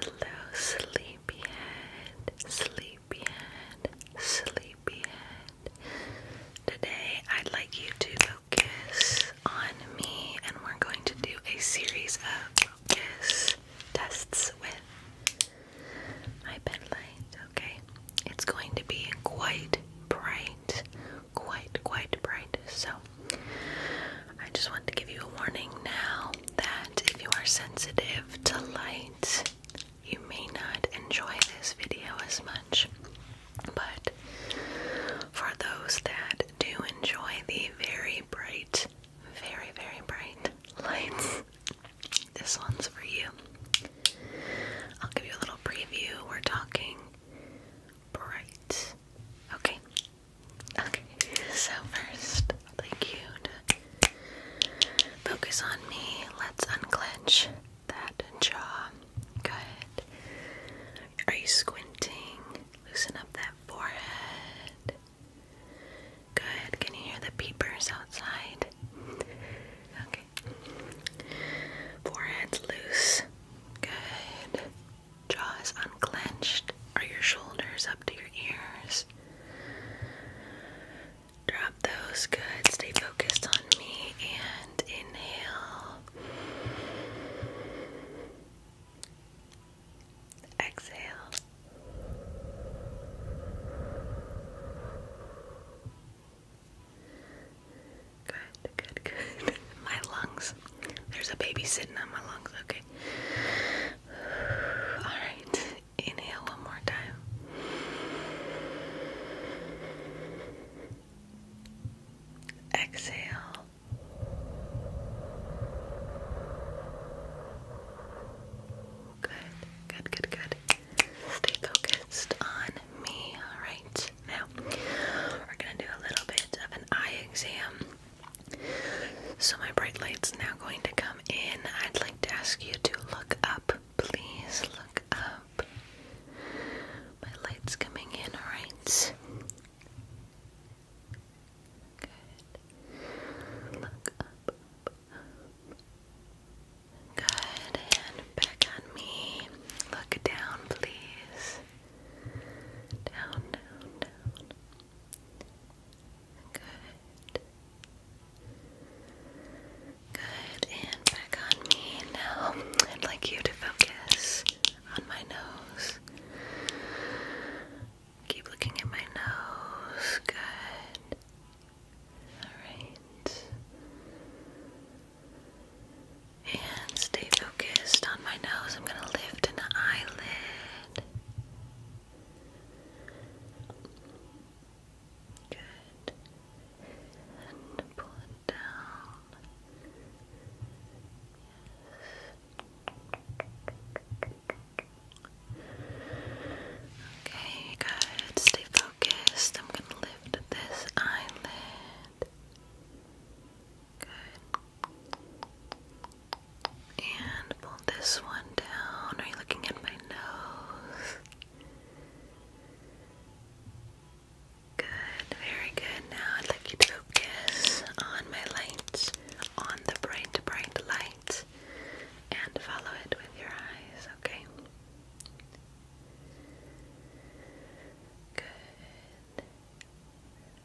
Hello, sleepyhead, sleepyhead, sleepyhead. Today, I'd like you to focus on me, and we're going to do a series of focus tests with my bed Okay, it's going to be quite bright, quite, quite bright. So, I just want to give you a warning now that if you are sensitive to light, you may not enjoy this video as much. But for those that do enjoy the very bright, very, very bright lights, this one's for you. I'll give you a little preview. We're talking bright. Okay, Okay, so first, like you focus on me. Let's unclench that jaw. Good. Are you squinting? Loosen up that forehead. Good. Can you hear the peepers outside? Okay. Forehead loose. Good jaws unclenched? Are your shoulders up to your ears? Drop those. Good. Stay focused on me and inhale. Exhale. Good, good, good. My lungs there's a baby sitting on my lungs, okay. Alright, inhale one more time. Exhale. Good, good, good, good. Stay focused on me. Alright, now we're gonna do a little bit of an eye exam. So, my bright light's now going to come in. I'd like to ask you to look up. Please look up. My light's coming in, alright? Good. Look up. Good. And back on me. Look down, please. Down, down, down. Good. Good. And back on me. Now I'd like you to focus on my nose. Keep looking at my nose. Good. Alright. And stay focused on my nose. I'm going to lift an eyelid. Good. And pull it down. Yes. Okay, good. Stay focused. I'm going to lift this eyelid. Good. And pull this one down. Are you looking at my nose? Good, very good. Now I'd like you to focus on my light, on the bright, bright light, and follow it with your eyes, okay? Good.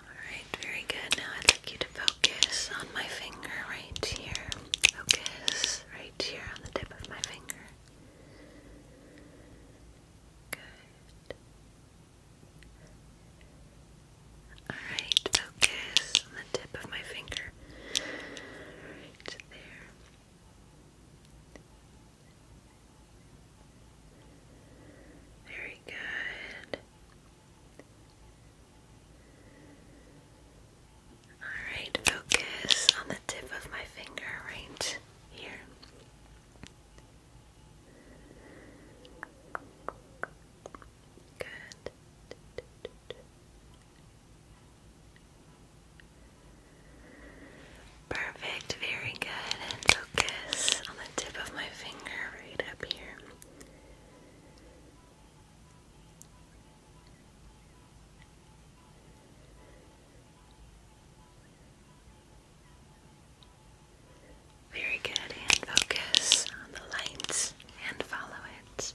Alright, very good. Now I'd like you to focus on my finger right here. Focus right here on the tip of my finger. Good. Alright, focus on the tip of my finger. Right there. Very good. Alright, focus on the tip of my finger right here. Good. Perfect, very good. And focus on the tip of my finger right up here. Very good, focus on the lights and follow it.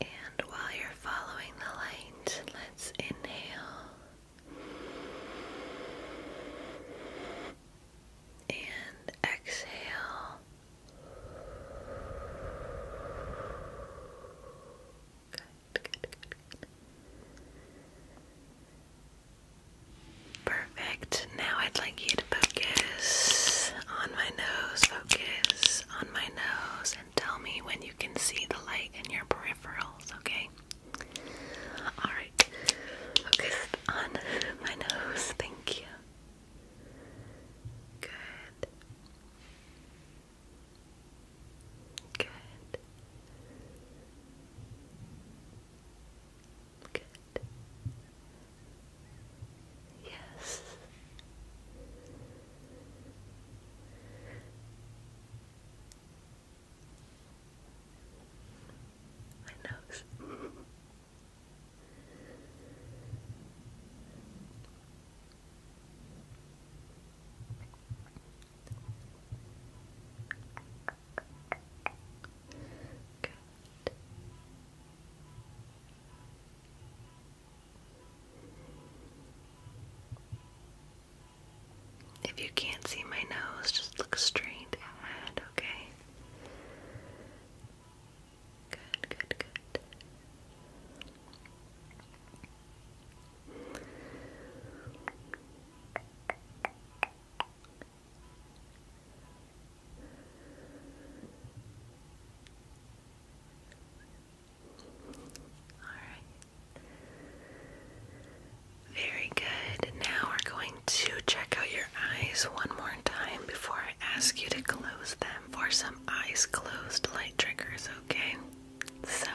And while you're following the light, let's inhale and exhale. Perfect. Now I'd like you to focus on my nose, focus on my nose and tell me when you can see the light in your peripherals, okay? Alright, focus on my nose, thank you. Good. Good. Good. Yes. My nose. Good. If you can't see my nose, just look straight ahead, okay? Good, good, good. Very good. Now we're going to check out your eyes one more time before I ask you to close them for some eyes closed light triggers, okay? So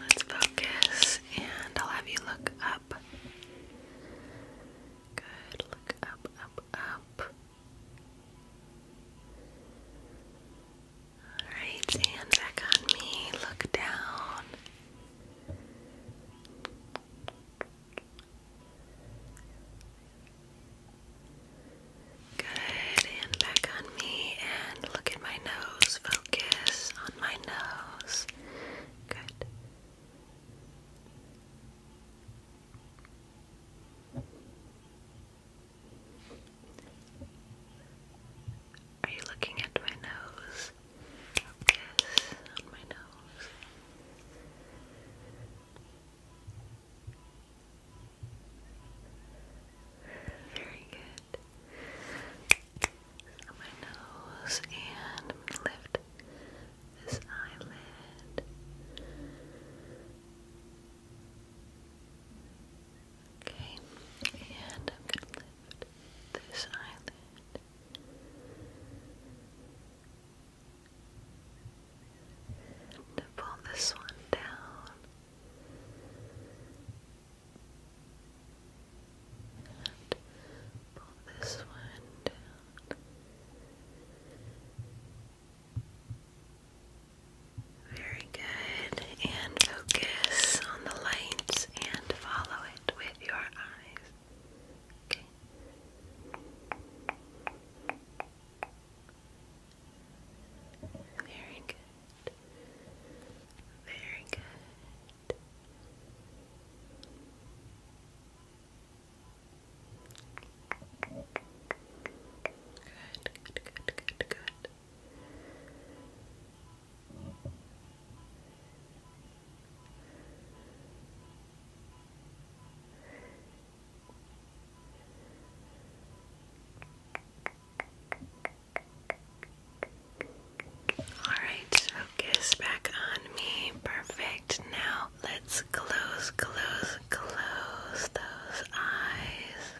let's focus and I'll have you look up. Good. Look up, up, up. Alright, hand back on me. Look down. Good, hand back on me and look at my nose. Focus on my nose. Good. Are you looking at my nose? Focus on my nose. Very good. On my nose, and lift this eyelid. Okay, and I'm going to lift this eyelid. pull this one down. And pull this one down. Very good. And focus on the light and follow it with your eyes. Okay. Very good. Very good. Good, good, good, good, good. All right, focus back on me. Perfect now let's close, close, close those eyes.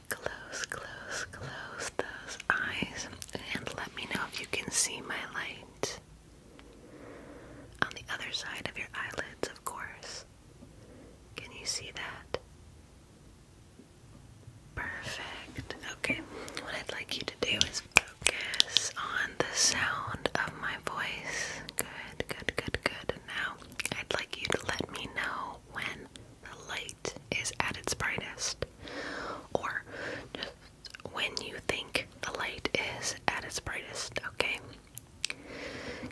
Close, close, close those eyes. And let me know if you can see my light. On the other side of your eyelids, of course. Can you see that? Perfect. Okay, what I'd like you to do is focus on the sound of my voice. Good. Good, good, good, good. now I'd like you to let me know when the light is at its brightest, or just when you think the light is at its brightest, okay?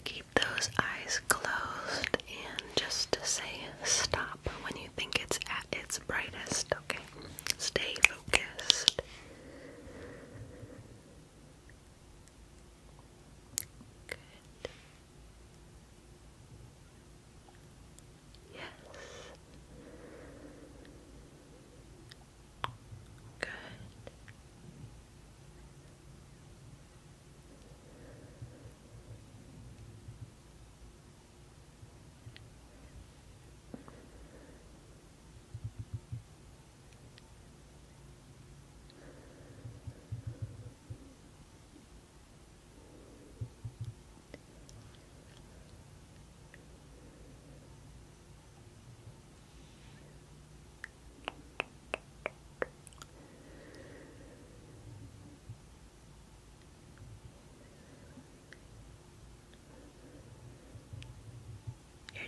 Keep those eyes closed and just say stop when you think it's at its brightest, okay? Stay focused. Good. Yes. Good. Good.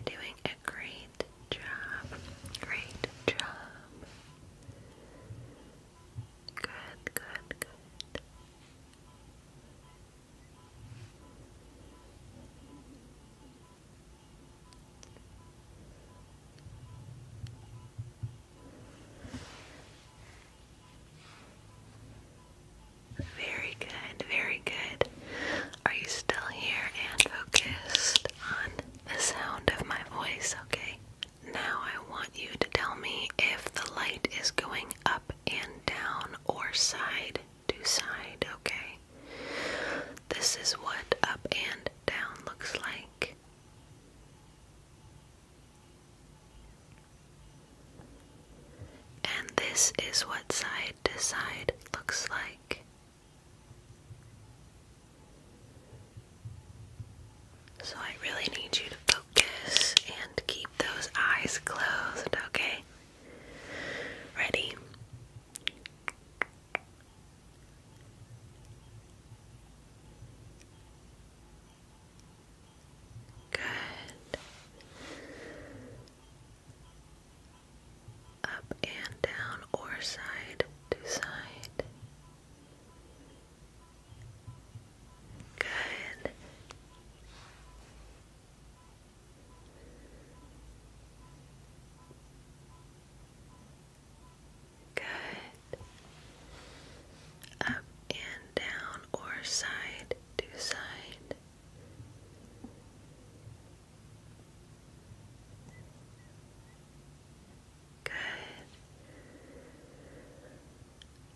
You're doing great job. Great job. Good, good, good. Very good, very good. Are you still here and focused on the sound of my voice? Okay. Now I want you to tell me if the light is going up and down or side to side, okay? This is what up and down looks like. And this is what side to side looks like. So I really need you to focus and keep those eyes closed, okay? Ready? Good up and down or side to side. Good. Good. Up and down or side to side. Good.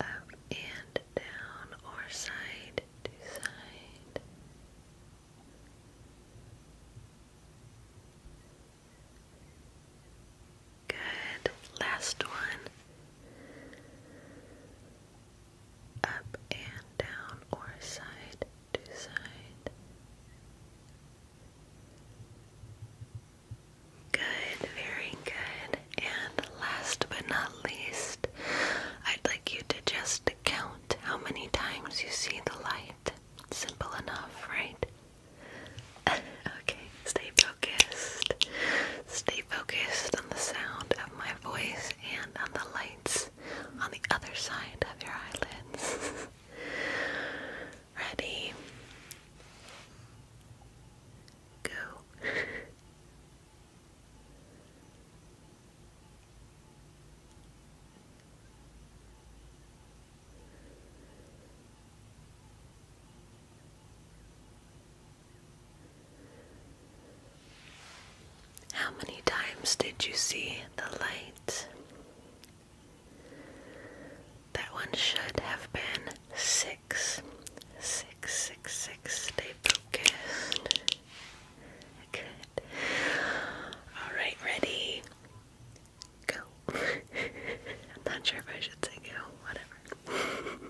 Up and down or side to side. Good. Last one. Up and down or side to side. Good, very good. And last but not least, I'd like you to just count how many times you see the light. Simple enough, right? okay, stay focused. Stay focused on the sound of my voice and on the lights on the other side of your eyelids. Ready? Go. How many times did you see the light? That one should have been six. Six, Stay focused. Alright, ready? Go. I'm not sure if I should say go, whatever.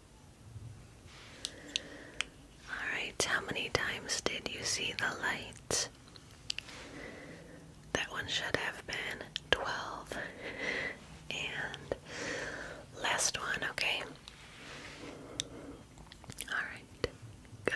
Alright, how many times did you see the light? That one should have been 12. And last one, okay? Alright, go.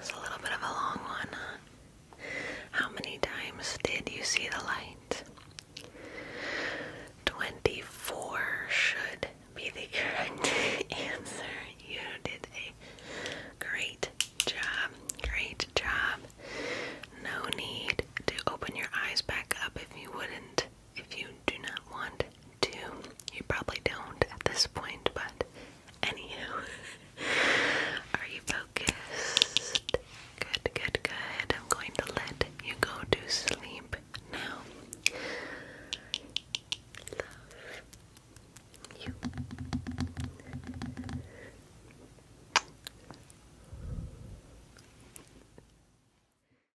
It's a little bit of a long one, How many times did you see the light? 24 should be the correct answer. You did a great job. Great job. No need to open your eyes back up if you wouldn't if you do not want to, you probably don't at this point, but anywho, are you focused? Good, good, good. I'm going to let you go to sleep now. Love you.